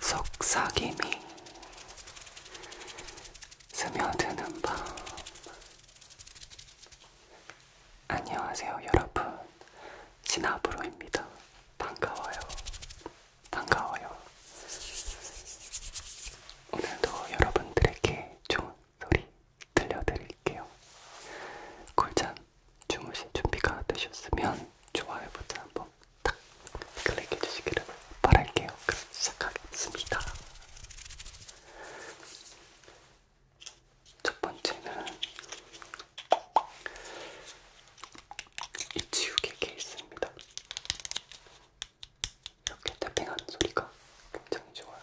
속삭임이 스며드는 밤 안녕하세요 여러분 진아브로입니다 반가워요 반가워요 오늘도 여러분들에게 좋은 소리 들려드릴게요 꿀잠 주무실 준비가 되셨으면 좋아요 버튼 한번 탁 클릭해 주시기를 바랄게요. 그럼 시작하겠습니다. 첫 번째는 이 지우개 케이스입니다. 이렇게 탭핑하는 소리가 굉장히 좋아요.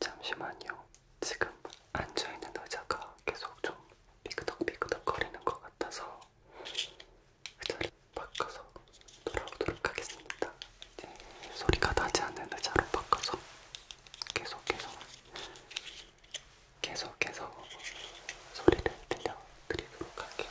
잠시만요. 지금 앉아있는 의자가 계속 좀 삐그덕삐그덕 거리는 것 같아서 의자를 그 바꿔서 돌아오도록 하겠습니다. 네, 소리가 나지 않는 의자로 바꿔서 계속해서 계속해서 소리를 들려드리도록 할게요.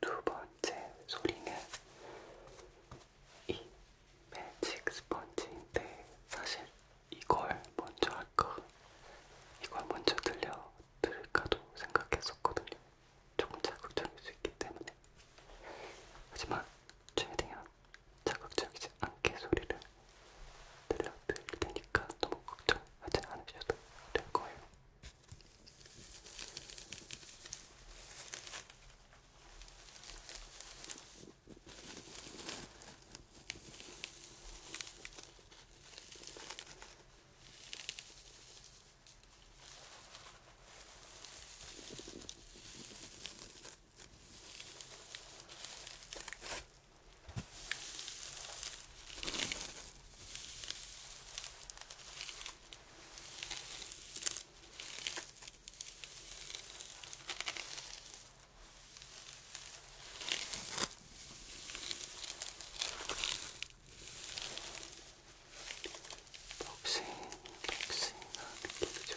두 번째 소리는 이 매직 스펀지인데 사실 이걸 먼저 할까 이걸 먼저 들려드릴까도 생각했었거든요. 조금 자극적일 수 있기 때문에 하지만 최대한 자극적이지 않게 소리를 들려드릴 테니까 너무 걱정하지 않으셔도 될 거예요. 복싱, 복싱, 아, 느낌이 좋다.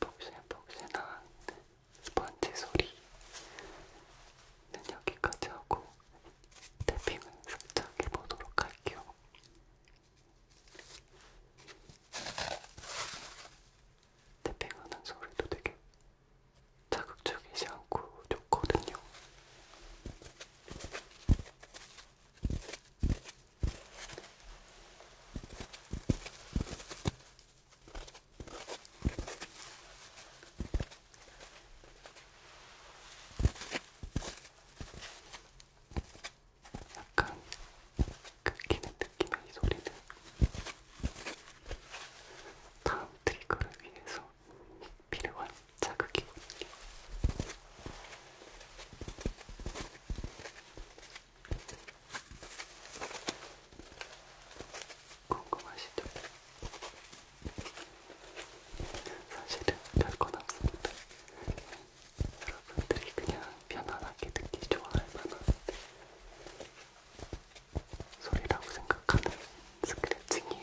복신복신한 스펀지 소리는 여기까지 하고 태핑은 살짝 해보도록 할게요. 태핑하는 소리도 되게 자극적이지 않고 좋거든요. 약간 긁히는 느낌의 이 소리는 다음 트리거를 위해서 필요한 자극이거든요. 궁금하시죠? 사실은 별건 없습니다. 여러분들이 그냥 편안하게 듣기 좋아할 만한 소리라고 생각하는 스크래칭이에요.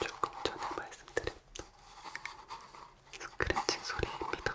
조금 전에 말씀드렸던 스크래칭 소리입니다.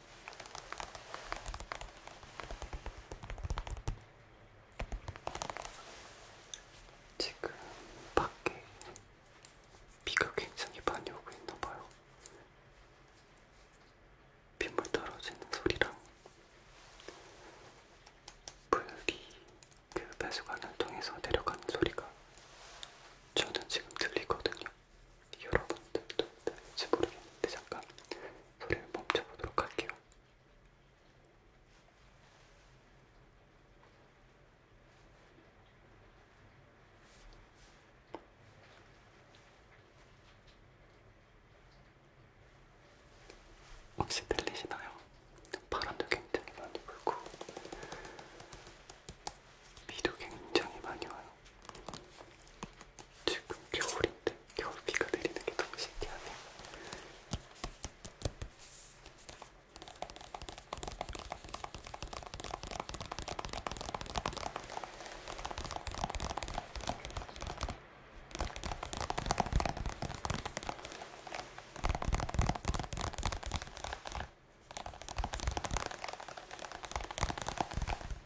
지금 밖에 비가 굉장히 많이 오고 있나봐요. 빗물 떨어지는 소리랑 물이 그 배수관을 통해서 내려가는 소리가 저는 지금 들리거든요. 여러분들도 들을지 모르겠는데 잠깐 소리를 멈춰보도록 할게요. 혹시 들리시나요? 바람도 굉장히 많이 불고 비도 굉장히 많이 와요. 지금 겨울인데 겨울 비가 내리는 게 너무 신기하네요. 아,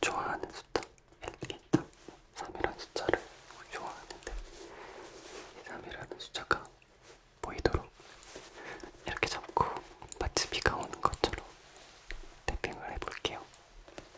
좋아하는 숫자 3이라는 숫자를 좋아하는데 3이라는 숫자가 보이도록 이렇게 잡고 마치 비가 오는 것처럼 태핑을 해볼게요.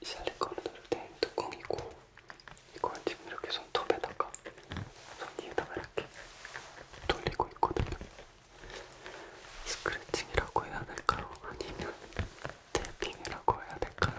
이 실리콘을 넣을 땐 뚜껑이고 이걸 지금 이렇게 손톱에다가 손 위에다가 이렇게 돌리고 있거든요. 스크래칭이라고 해야 될까요? 아니면 테이핑이라고 해야 될까요?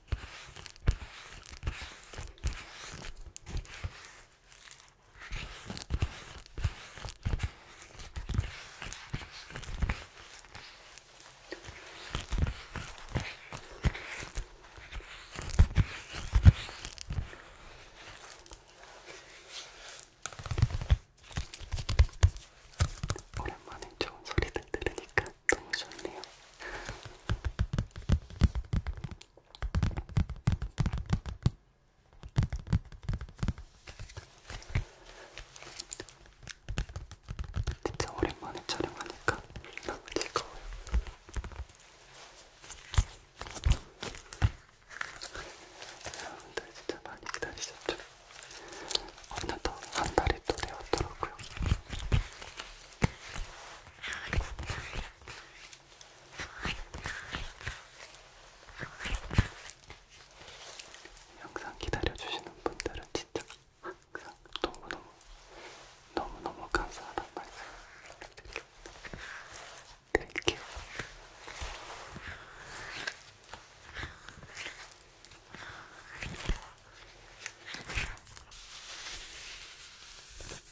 오랜만에 좋은 소리들 들으니까 너무 좋네요. 진짜 오랜만에 촬영하니까 너무 즐거워요. 여러분들 진짜 많이 기다리셨죠? 어느덧 한 달이 또 되었더라고요. 영상 기다려주시는 분들은 진짜 항상 너무너무 너무너무 감사하단 말씀 드릴게요.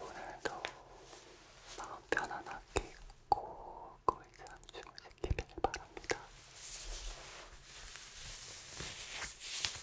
오늘도 마음 편안하게 있고 거의 잠 주무시기를 바랍니다.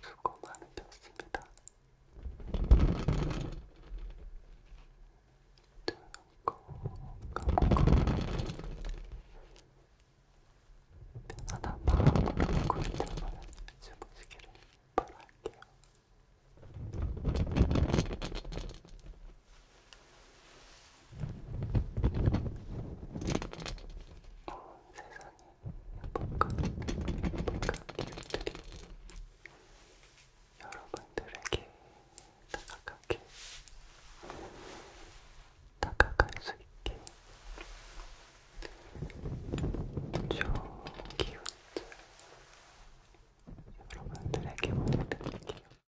수고 많으셨습니다. 뜨고 감고 편안한 마음으로 꿀잠을 주무시기를 바랄게요. 어, 세상에 예쁜가 예쁜가 들이 여러분들에게 다가가게 다가갈 수 있게 좋은 기운 여러분들에게 보내드릴게요.